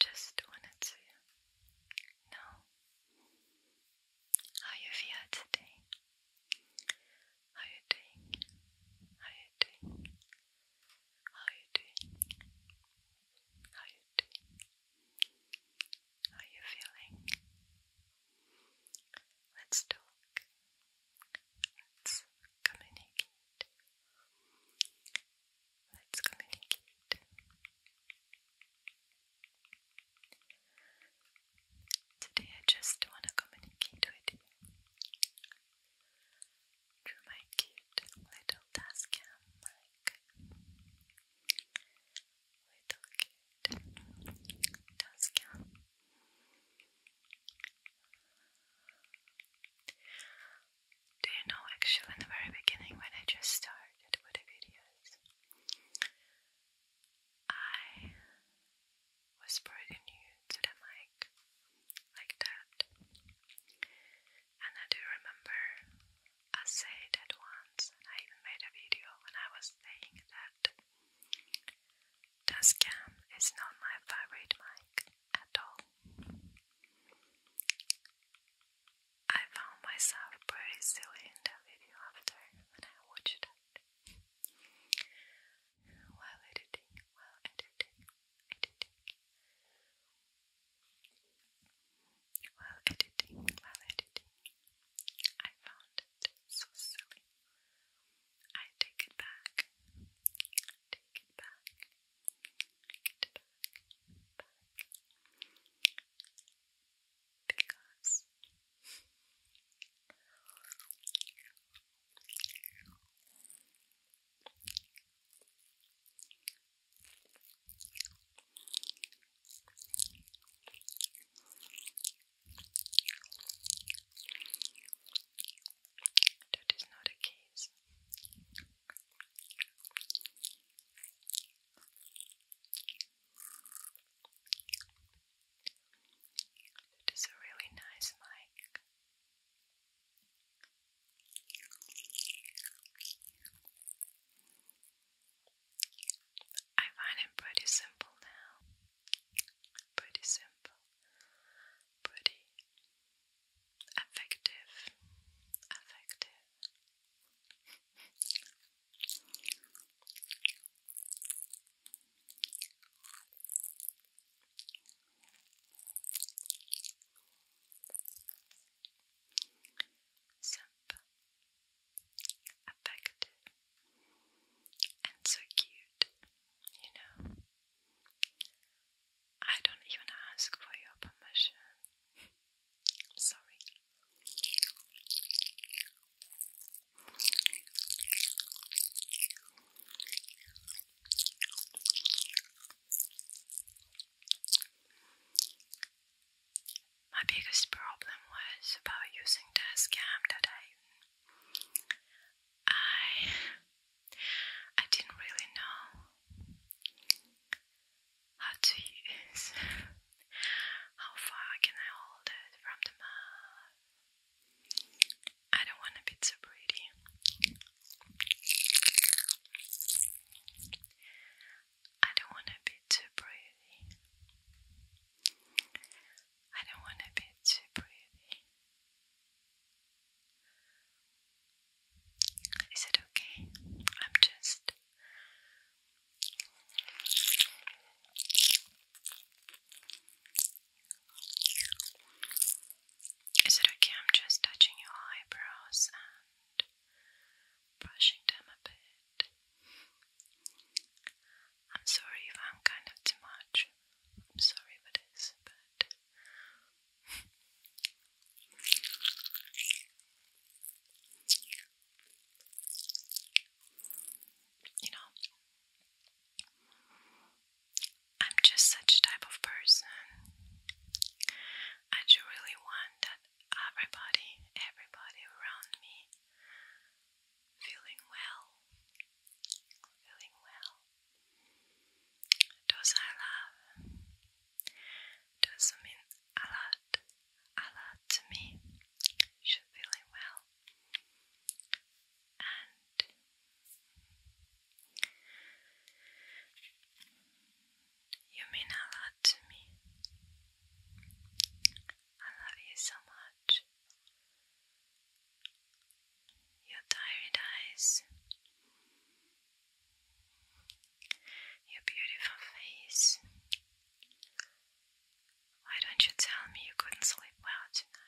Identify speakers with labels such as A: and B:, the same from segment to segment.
A: Just wanted to know how you feel today. How you doing? How you doing? How you doing? How you doing? are you feeling? Let's talk. Let's communicate. Let's communicate. Today I just want to communicate with you through my cute little dust mic little does come. Do you know actually in the very beginning when I just started with videos, I was pretty new to the mic like that. And I do remember I say it once, and I even made a video when I was saying that scam is not my favorite mic at all. I found myself pretty silly in that video after when I watched it. While editing, while editing, editing while editing, while editing. I found it so silly. I take it back. Take it back. Take it back. Because that is not a case. It is a really nice mic. I find it pretty simple now. Pretty simple. Pretty effective. Effective. Simple, affected and so cute, you know. I don't even ask for your permission. Sorry. My biggest problem was about using the scam that I I I didn't really know how to use how far can I hold it from the mouth. I don't want to be too pretty. I don't want to be too pretty. I don't want to be too pretty. Is it okay? I'm just. Is it okay? I'm just touching your eyebrows and brushing them a bit. I'm sorry if I'm kind of too much. I'm sorry for this, but you know, I'm just such type of person. I do really want that everybody, everybody around me feeling well, feeling well. Does I Does mean a lot, a lot to me. Should feeling well, and you mean a lot to me. I love you so much. Your tired eyes, your beautiful face. Why don't you tell me you couldn't sleep well tonight?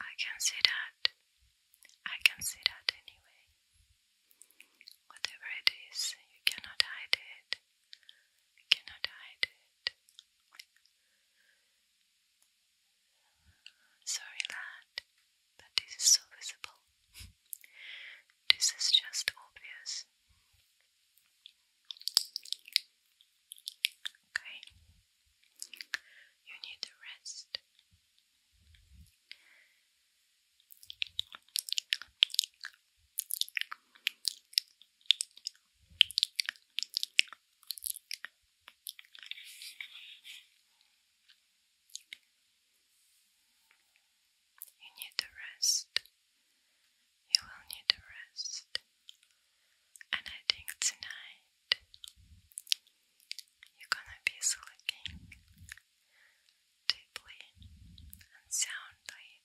A: I can see that. I can see that anyway. Whatever it is, you cannot hide it. You cannot hide it. Sorry, lad that this is so visible. this is just obvious. Okay, you need to rest. You need to rest. You will need to rest. And I think tonight you're gonna be sleeping deeply and soundly.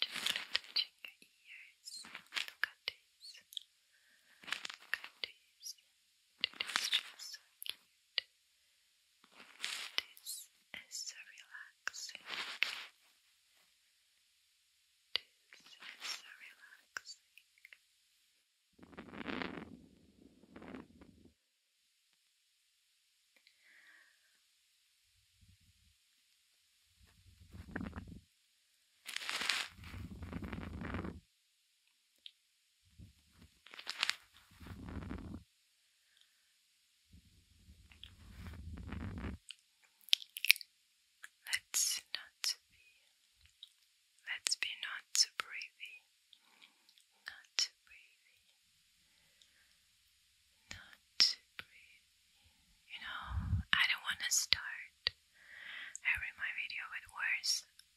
A: Just touching your ears. Look at this. Look just so cute. This so relaxing. This so relaxing. Let's not be let's be not too breathy. Not too breathy not You know, I don't want to start every my video with words,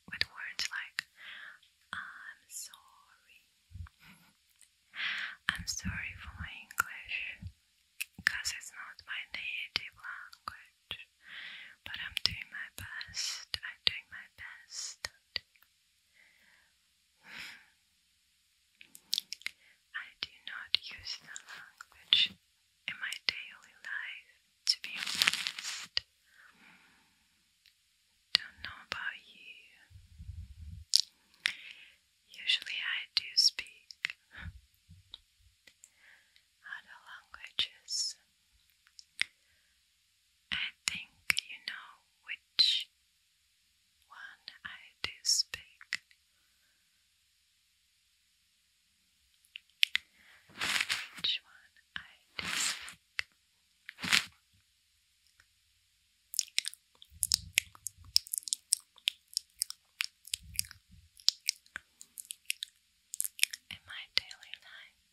A: with words like I'm sorry. I'm sorry for my English, cause it's not my native language. But I'm doing my best. I'm doing my best. I do not use that language in my daily life, to be honest. Don't know about you. Usually I do speak other languages. I think you know which when I do speak. Which one I do speak. In my daily life,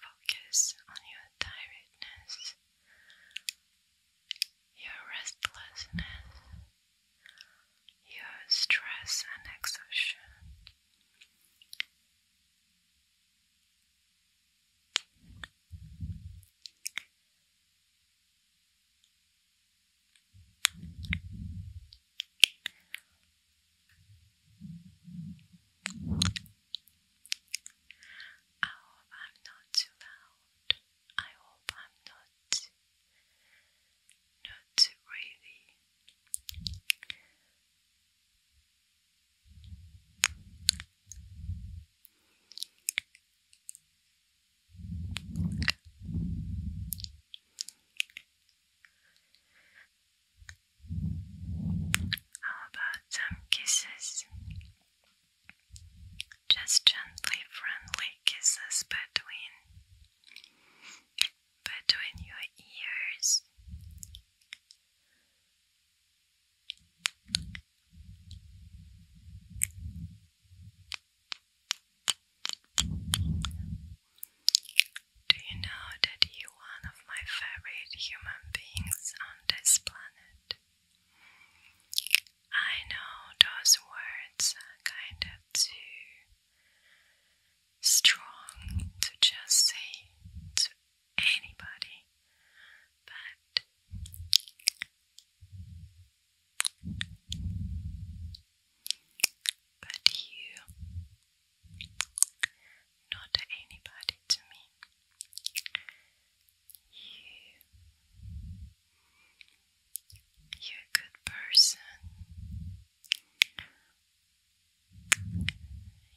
A: Focus on your tiredness, your restlessness, your stress and exhaustion. I hope I'm not too loud. I hope I'm not not too really how about some kisses? Just gently friendly kisses between between your ears. Do you know that you one of my favorite human beings on this planet. I know those words are kind of too strong to just say to anybody, but but you not anybody to me. You, you're a good person.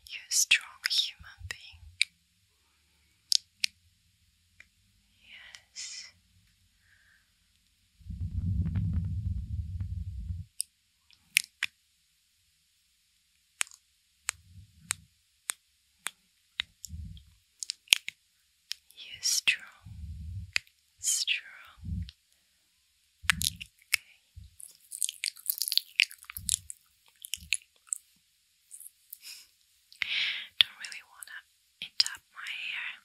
A: You're a strong human being. Yes. You're strong, strong. Okay. Don't really wanna it up my hair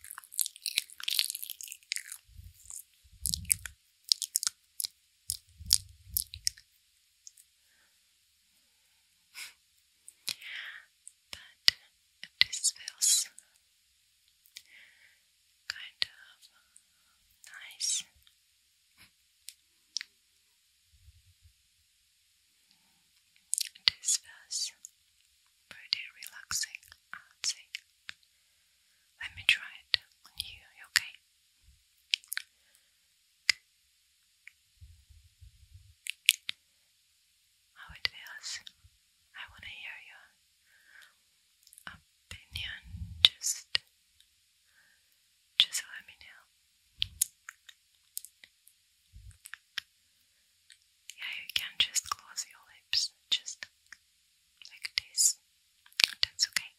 A: but this feels kind of nice. This feels pretty relaxing, I would say. Let me try it on you, okay? how oh, it feels. I want to hear your opinion. Just, just let me know. Yeah, you can just close your lips, just like this. That's okay.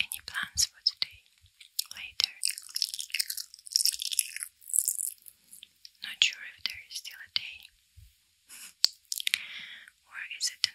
A: Any plans for today? Later? Not sure if there is still a day. or is it a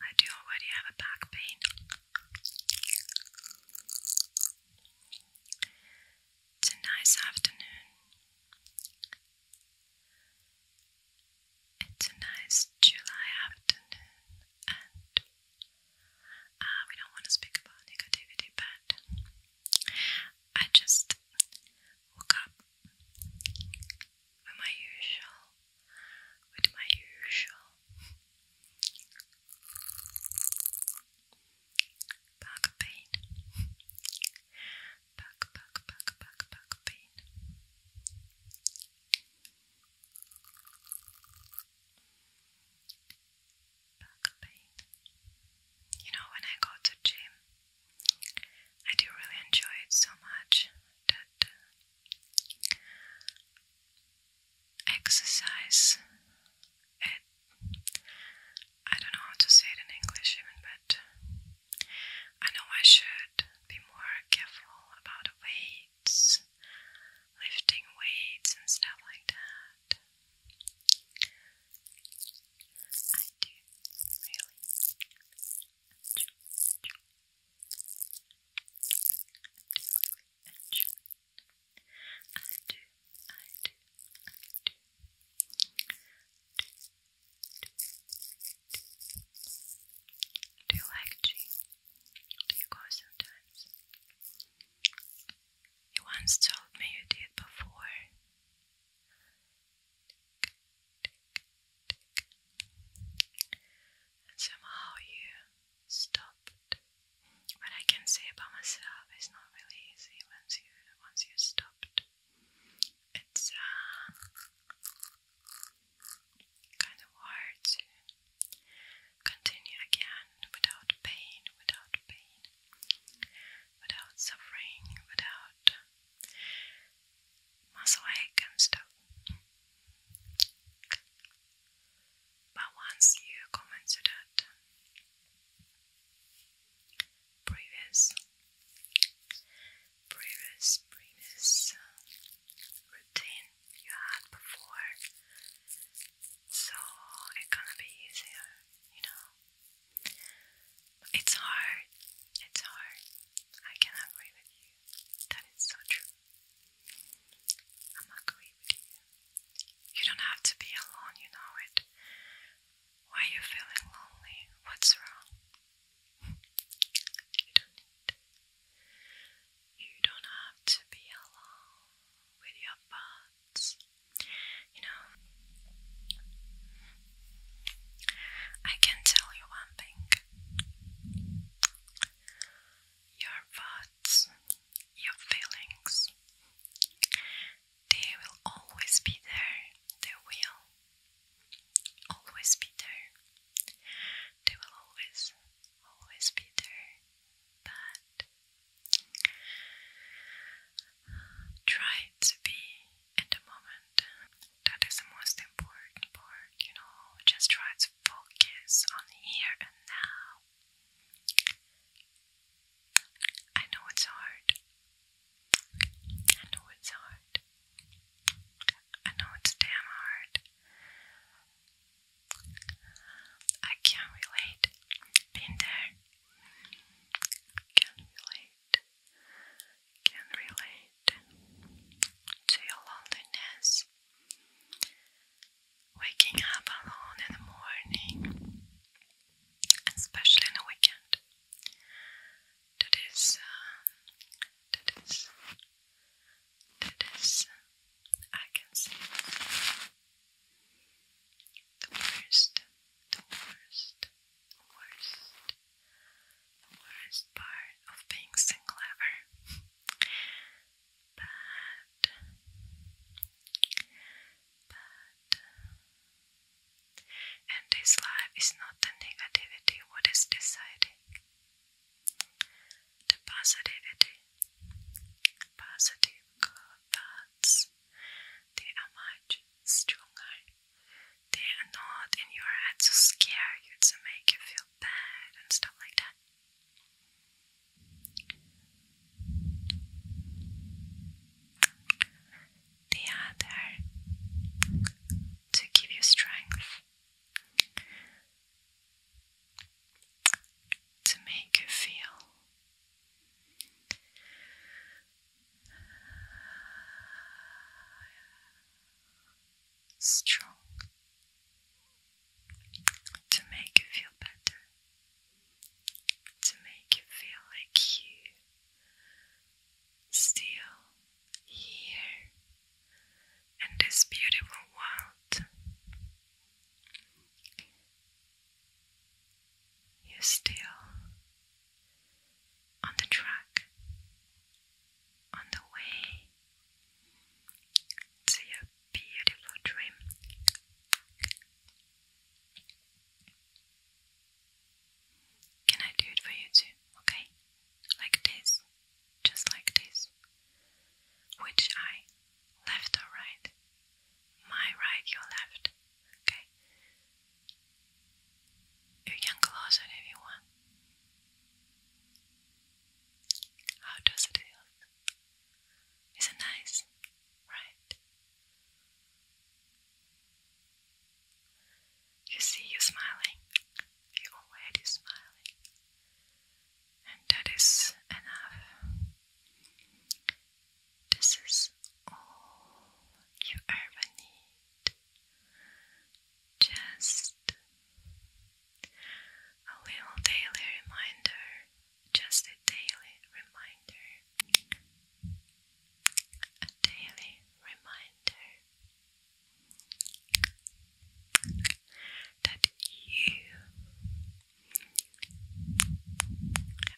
A: I do already have a back pain. It's a nice afternoon. It's a nice July afternoon, and uh, we don't want to speak about negativity, but I just woke up with my usual with my usual back pain. Back, back, back, back, back pain. You know, when I go to gym, I do really enjoy it so much that uh, exercise. It, I don't know how to say it in English, even, but I know I should be more careful about weights, lifting weights, and stuff like that. I do I do, I do, I do. Do you like tea? Do you go sometimes? You once told me you did before. somehow you stopped. What I can say about myself is not really easy once you once you stopped. It's uh, kind of hard to continue again without pain, without pain, without suffering, without muscle ache and stuff. But once you comment to that previous, previous, previous routine you had before, so it's gonna be easier, you know. It's hard, it's hard. I can agree with you. That is so true. I'm agree. You don't have to be alone, you know it. Why are you feeling lonely? What's wrong? you don't need. You don't have to be alone with your thoughts. You know, I can tell you one thing. Your thoughts your feelings. They will always be there. They will always be there. They will always, always be there. But try to be in the moment. That is the most important part, you know. Just try to focus on here and now I know it's hard. I know it's hard. I know it's damn hard. I can't relate. Been there. Can relate. Can relate to your loneliness waking up alone in the morning, especially on a weekend. That is, uh, that is, that is, I can see the worst, the worst, the worst, the worst part of being single ever. But, but, and this life is not the negativity what is deciding, the positivity, positive thoughts, they are much stronger. They are not in your head to scare you, to make you feel bad and stuff like that. The other to give you strength, to make you feel strong to make you feel better, to make you feel like you still here in this beautiful world. You're still on the track, on the way See a beautiful dream. Can I do it for you too? Okay? Like this. Just like this. Which eye? Left or right? My right, your left. Okay? You can close it if you want. How does it feel? Isn't nice, right? You see, you're smiling. You're already smiling. And that is enough. This is all you ever need. Just a little daily reminder, just a daily reminder, a daily reminder that you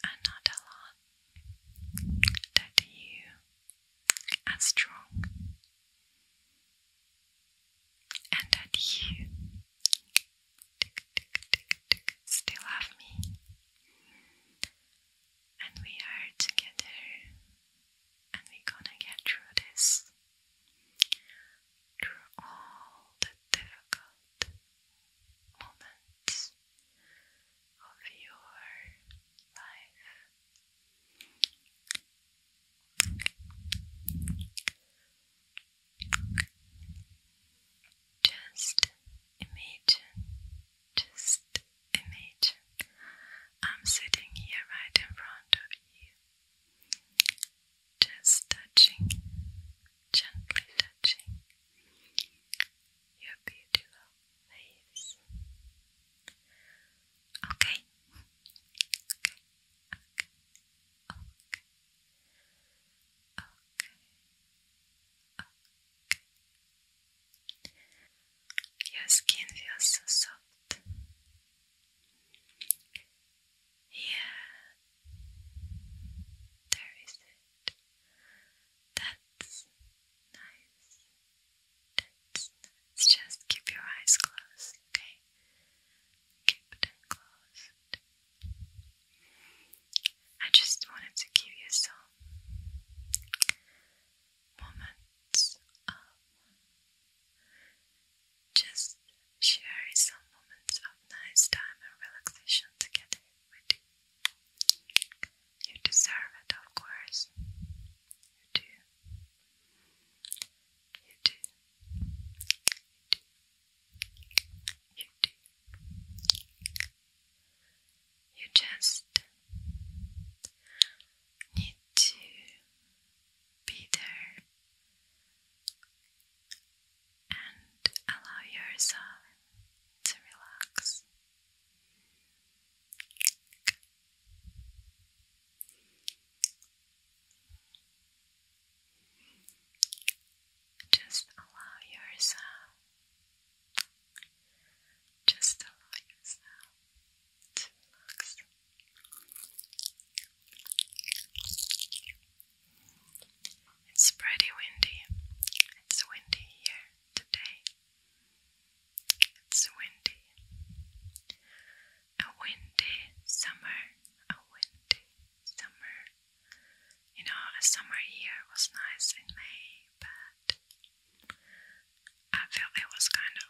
A: are not alone, that you are strong. And that you still love me, and we are together, and we're gonna get through this, through all the difficult moments of your life. Just imagine, just imagine I'm sitting here right in front of you, just touching, gently touching your beautiful face. Okay. Okay. Okay. Okay. Your skin feels so soft. Yeah. There is it. That's nice. That's nice. Just keep your eyes closed, okay? Keep them closed. I just wanted to give you some moments of just sharing some moments of nice time and relaxation together with you. You deserve it, of course. You do. You do. You You just need to be there and allow yourself to relax. Just allow yourself, just allow yourself to relax. It's pretty windy. It's windy here today. It's windy. A windy summer. A windy summer. You know, a summer here was nice in May, but I felt it was kind of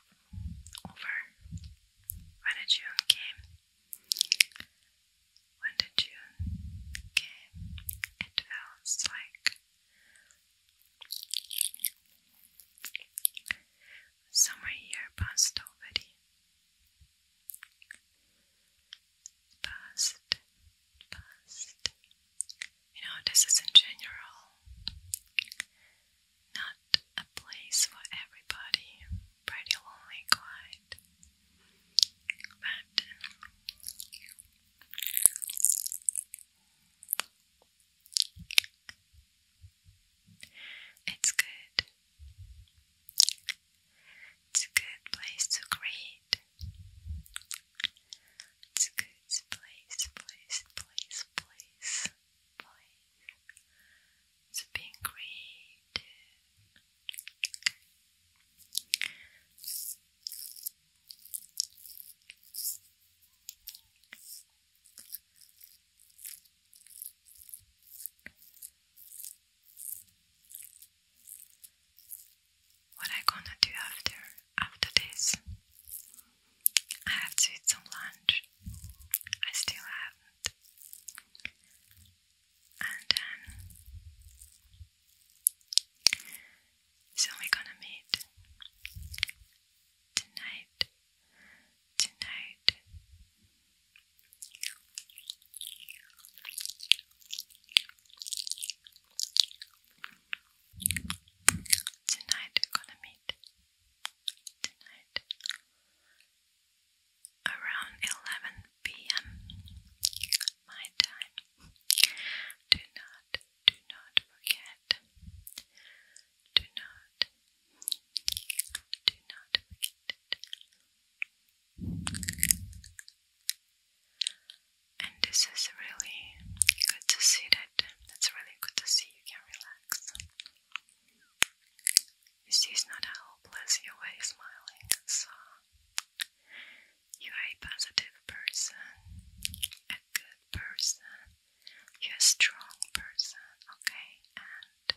A: over when the June came. When the June came, it felt like summer here passed already past, past. You know, this is in general not a place for everybody, pretty lonely, quiet. But it's good it's a good place to create. It's a good place, place, place, place, place. It's being creative. What I gonna do after after this? I have to eat some lunch. I still haven't. And then so we're gonna meet tonight. Tonight Tonight we're gonna meet tonight around 11 p.m. my time. Do not, do not forget. Do not, do not forget it. And this is really good to see that. That's really good to see you can relax. You see, it's not hopeless, you're smiling, so you are a positive person, a good person, you're a strong person, okay? And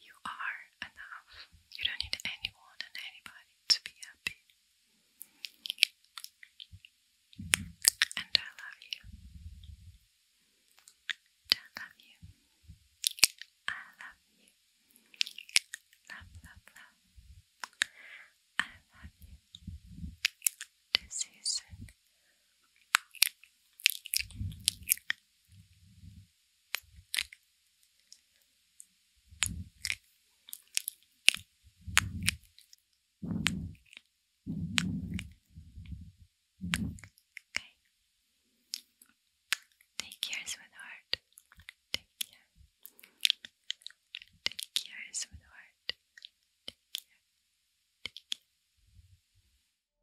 A: you are enough. You don't need anyone and anybody to be happy. And I love you. I love you. I love you. Love, love, love. I love you. This season. Okay. Take care, sweetheart. Take care. Take care, sweetheart. Take care. Take